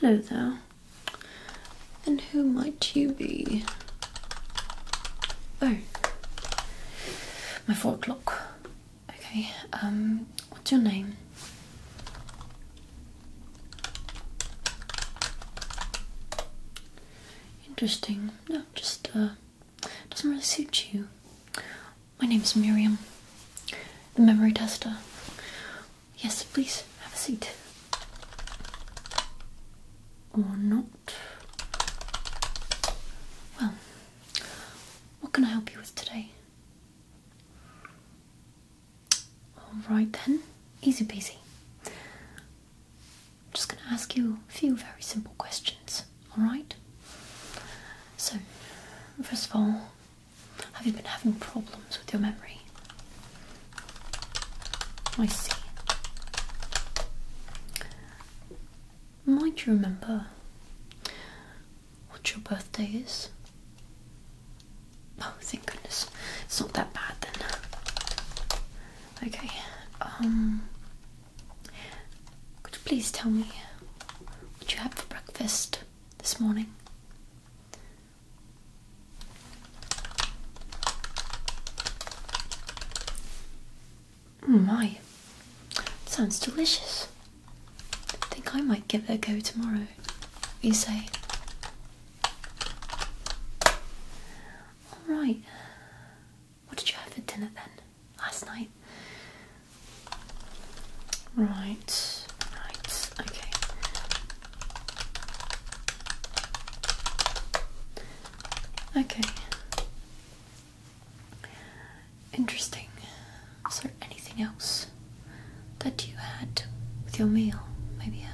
Hello there. And who might you be? Oh, my four o'clock. Okay, um, what's your name? Interesting. No, just, uh, doesn't really suit you. My name's Miriam, the memory tester. Yes, please have a seat. Or not. Well, what can I help you with today? Alright then, easy peasy. I'm just going to ask you a few very simple questions alright? So, first of all, have you been having problems with your memory? I see. Might you remember what your birthday is? Oh, thank goodness. It's not that bad then. Okay, um, could you please tell me what you had for breakfast this morning? Mm, my, sounds delicious. I think I might give it a go tomorrow. What you say? Alright. What did you have for dinner then? Last night? Right, right, okay. Okay. Interesting. Is there anything else that you had with your meal? Maybe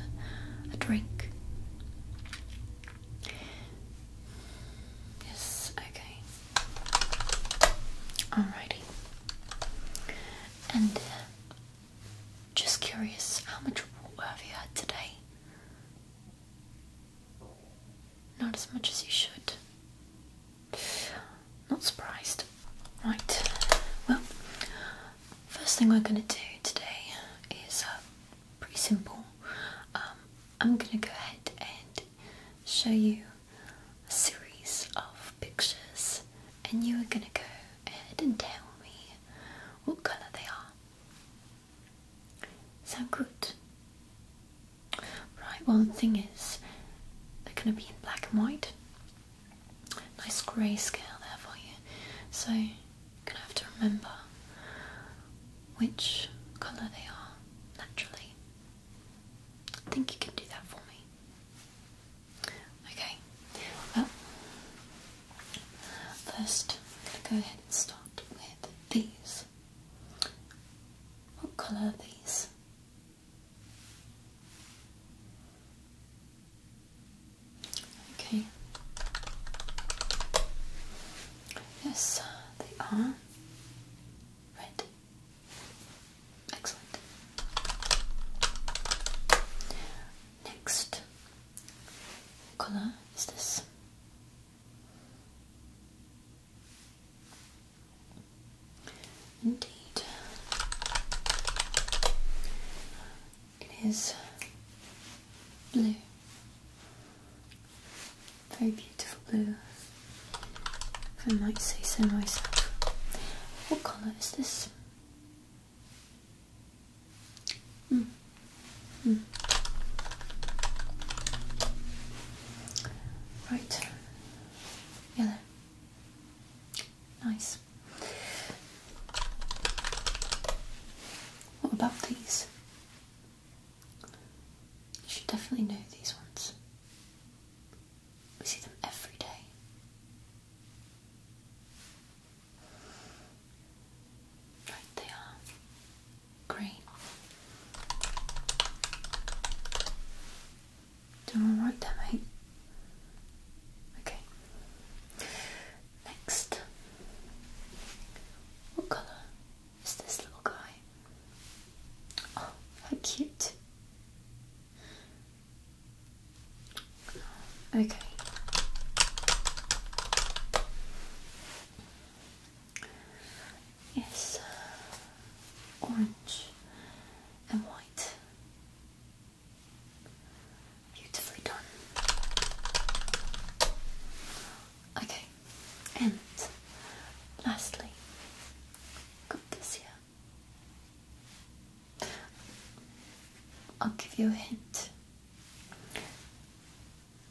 a drink? Yes, okay. Alrighty. And uh, just curious, how much water have you had today? Not as much as you should. Not surprised. Right. Well, first thing we're going to do today is uh, pretty simple. Um, I'm going to go ahead and show you a series of pictures, and you are going to go ahead and tell me what colour they are. Sound good? Right, well, the thing is, they're going to be in black and white. Nice grey scale there for you. So, you're going to have to remember which colour they are naturally. I think you can do that for me. Okay, well, first I'm going to go ahead and start with these. What colour are these? Okay. Yes, they are red Excellent. Next color is this. Indeed, it is blue. Very beautiful blue. I might say so myself. What colour is this? Mm. Mm. Right. Yellow. Nice. What about these? You should definitely know these ones. We see them every day. Right, they are green. Doing alright there, eh? mate. Okay. Next, what colour is this little guy. Oh, how cute. Okay. Yes, orange and white. Beautifully done. Okay, and lastly, got this here. I'll give you a hint.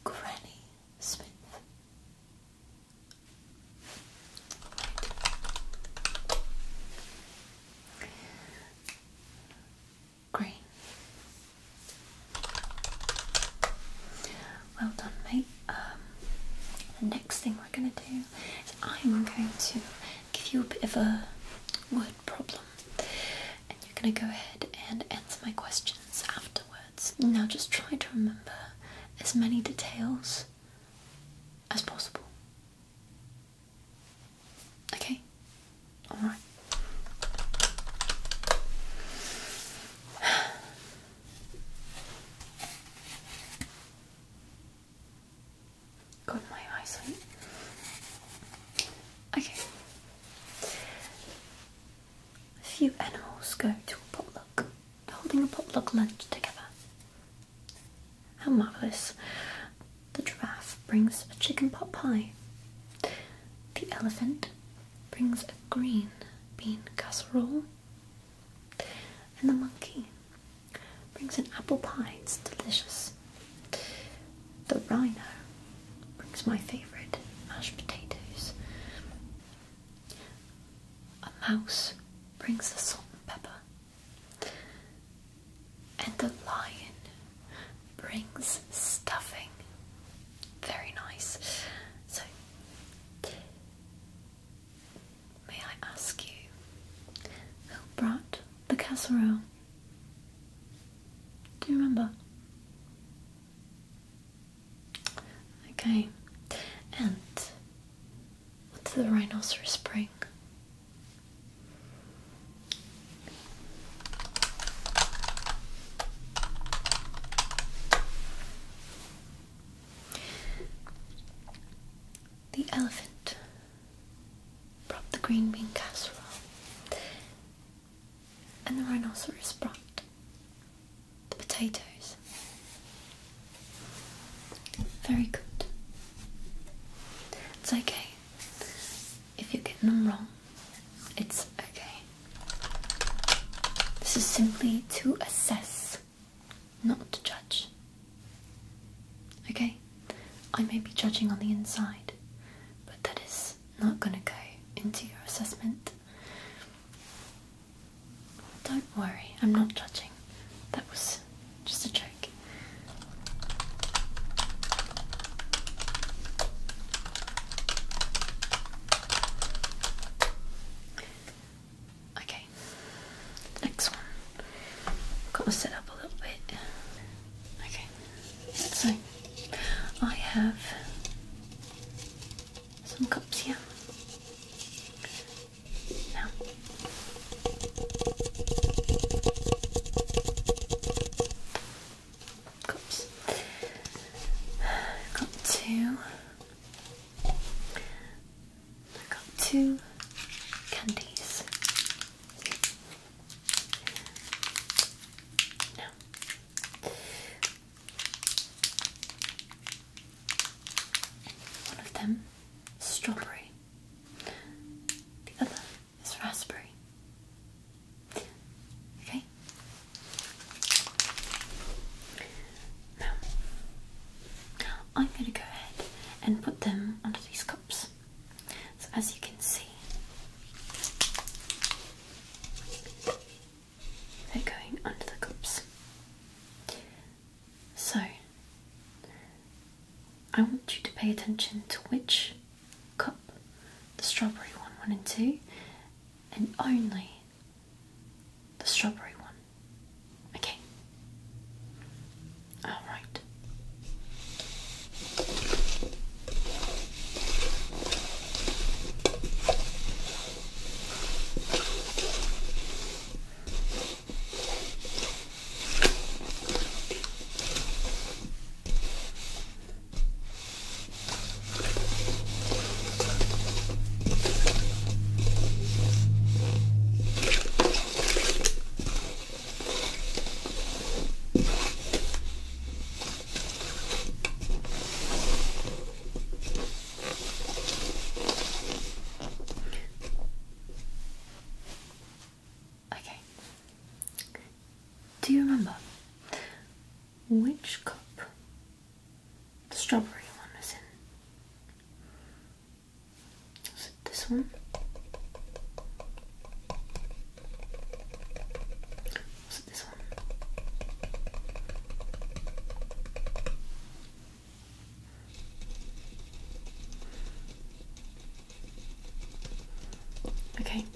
Granny Smith. Green. Well done, mate. Um, the next thing we're going to do is I'm going to give you a bit of a word problem, and you're going to go ahead and answer my questions afterwards. Now, just try to remember as many details as possible. Okay? Alright. Got my eyesight. Okay. A few animals go to a potluck, holding a potluck lunch together. How marvellous. The giraffe brings a chicken pot pie. The elephant brings a green bean casserole and the monkey brings an apple pie, it's delicious. The rhino brings my favourite mashed potatoes. A mouse brings the salt and pepper. And the lion brings stuffing. Very nice. So May I ask you who brought the casserole? Do you remember? Okay, and what's the rhinoceros bring? The elephant brought the green bean casserole, and the rhinoceros brought the potatoes. Very good. It's okay if you're getting them wrong. It's okay. This is simply to assess, not to judge. Okay? I may be judging on the inside, but that is not going to go into your assessment. Don't worry, I'm not judging. That was just a joke. Okay, next one. Got to set up a little bit. Okay, so I have some cups here. Now. Cups. Got two I got two candies. Now, one of them is strawberry, the other is raspberry. Okay, I'm going to go ahead and put them under these cups. So, as you can see, they're going under the cups. So, I want you to pay attention to which cup the strawberry one, one, and two, and only the strawberry one. Okay. All right. Okay. Do you remember which cup the strawberry one was in. Was it this one? Was it this one? Okay, I'm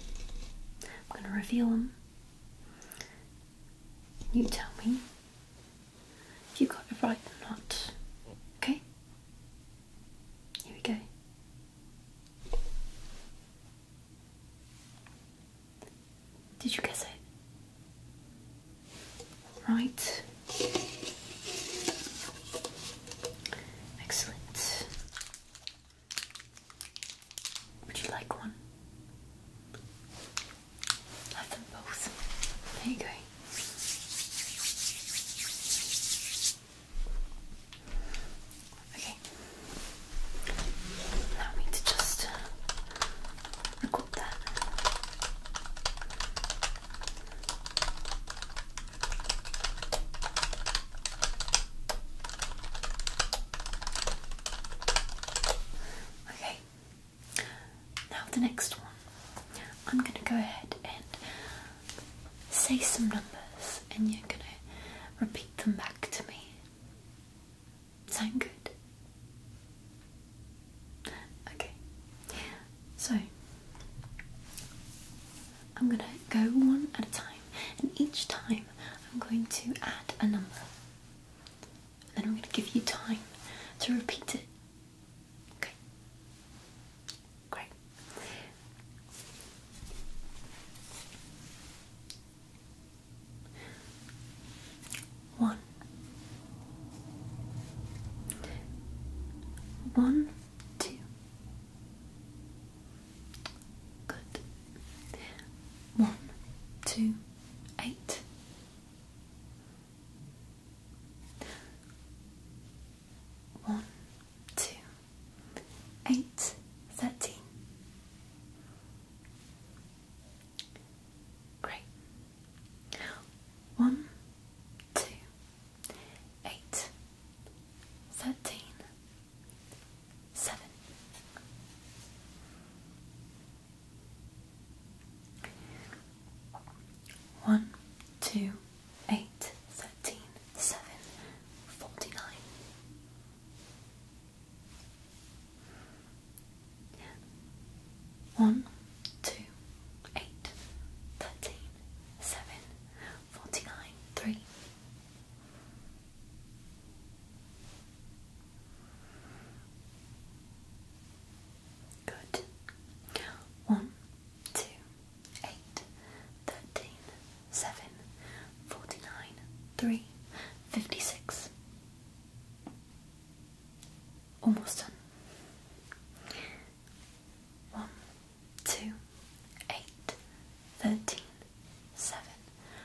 going to reveal them you tell me if you got it right or not. Okay? Here we go. Did you guess it? Right. Excellent. Would you like one? Have them both. There you go. Okay. Allow me to just uh, record that. Okay. Now the next one. I'm going to go ahead and say some numbers, and you're going to repeat them back to me. Sound good? Okay. So I'm going to go one at a time, and each time I'm going to add a number and then I'm going to give you time to repeat it. Okay. Great. One. One, two. Good. One, two, eight. One, Great. One, two, eight, thirteen, seven. One, two, eight, thirteen, seven, forty-nine. One, two, eight, thirteen, seven, forty-nine, three. Good. One, two, eight, thirteen, seven, forty-nine, three, fifty-six. Almost done. One, two, eight, thirteen, seven,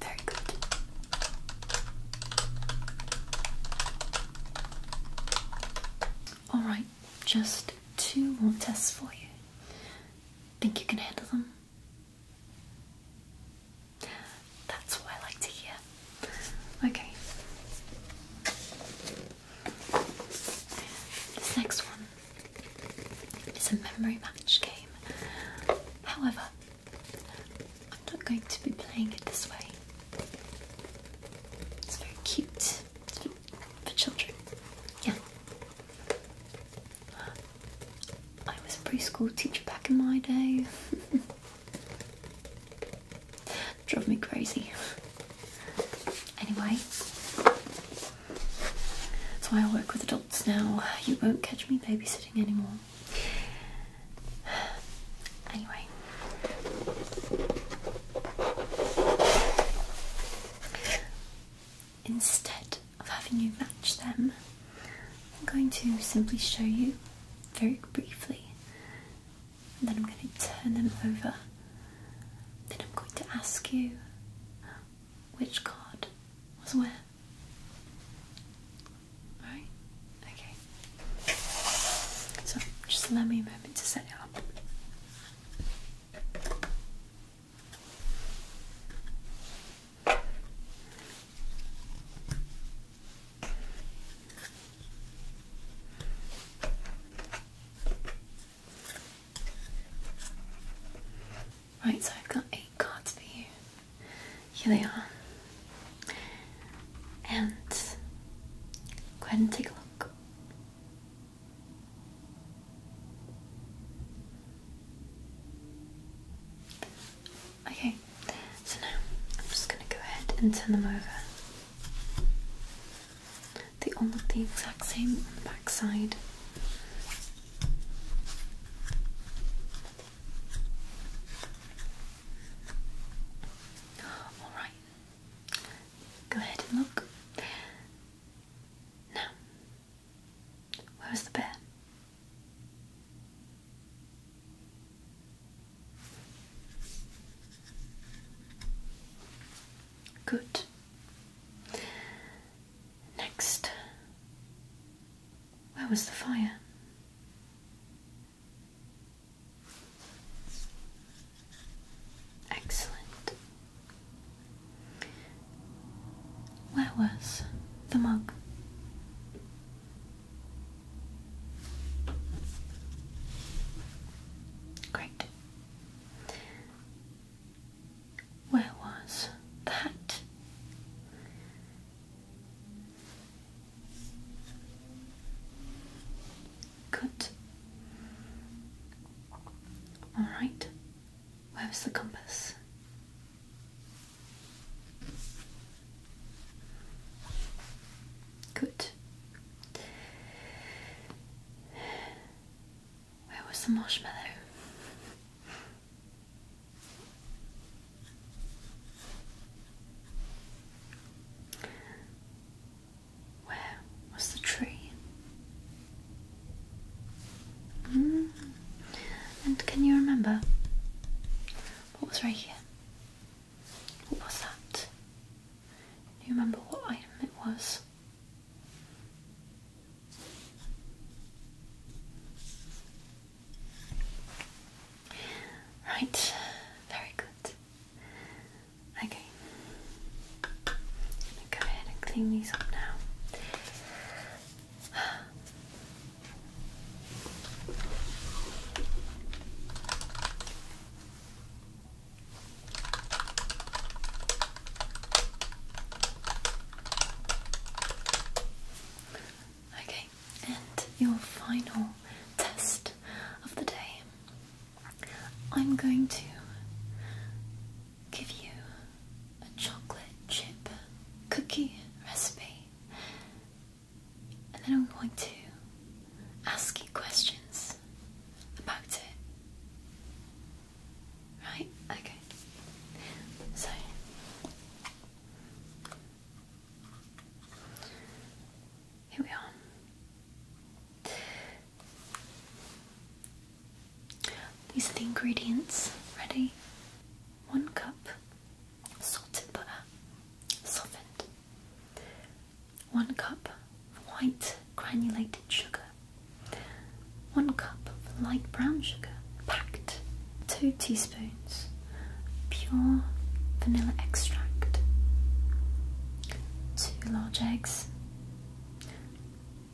Very good. Alright, just two more tests for you. Think you can handle them? That's what I like to hear. Okay. This next one is a memory match game. However, I'm not going to be playing it this way. It's very cute for children. Yeah. I was a preschool teacher back in my day. Drive me crazy. Anyway, that's why I work with adults now. You won't catch me babysitting anymore. Anyway, instead of having you match them, I'm going to simply show you very briefly, and then I'm going to turn them over. Then I'm going to ask you which card was where. Right? Okay. So just allow me a moment to set it up. Right, so I've got eight cards for you. Here they are. And go ahead and take a look. Okay, so now I'm just going to go ahead and turn them over. They all look the exact same on the back side. Alright, go ahead and look. Now, where the bear? Good. Next, where was the fire? Excellent. Where was the mug? Great. Where was that? Good. All right. Where is the compass? Good. Where was the marshmallow? Where was the tree? Hmm. And can you remember what was right here? What was that? Do you remember what item it was? Right, very good. Okay, go ahead and clean these up now. Okay, and your final test of the day. I'm going to give you a chocolate chip cookie recipe and then I'm going to ask you questions about it. Right? Okay. So, here we are. These the ingredients ready. One cup salted butter, softened, 1 cup white granulated sugar, 1 cup light brown sugar, packed, 2 teaspoons pure vanilla extract, 2 large eggs,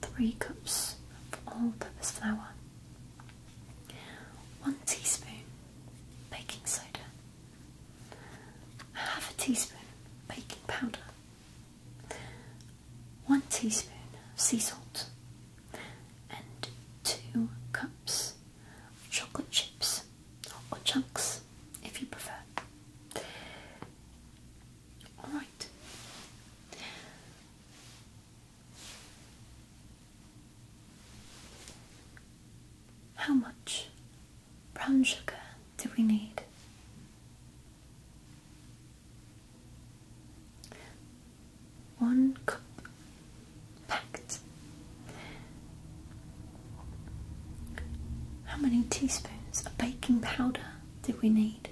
3 cups all purpose flour, 1 teaspoon baking soda, half a teaspoon baking powder, one teaspoon of sea salt, and two cups of chocolate chips or chunks if you prefer. Alright, how much brown sugar do we need? One cup packed. How many teaspoons of baking powder do we need?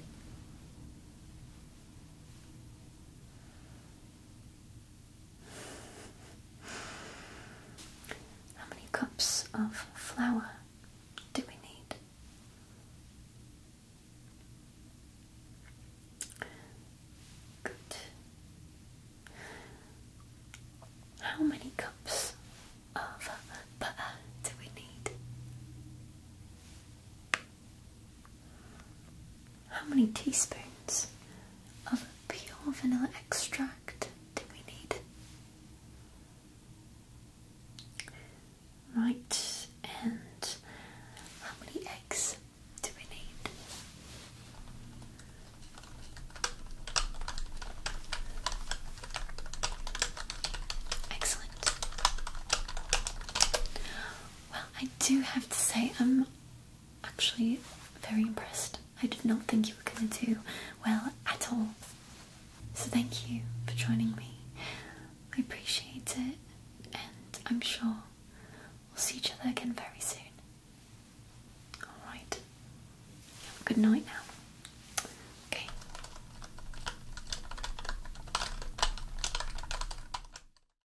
How many cups of flour do we need? Good. How many cups of butter do we need? How many teaspoons of pure vanilla extract do we need? Right, and how many eggs do we need? Excellent. Well, I do have to say, i actually very impressed. I did not think you were going to do well at all. So thank you for joining me. I appreciate it, and I'm sure we'll see each other again very soon. Alright. Have a good night now. Okay.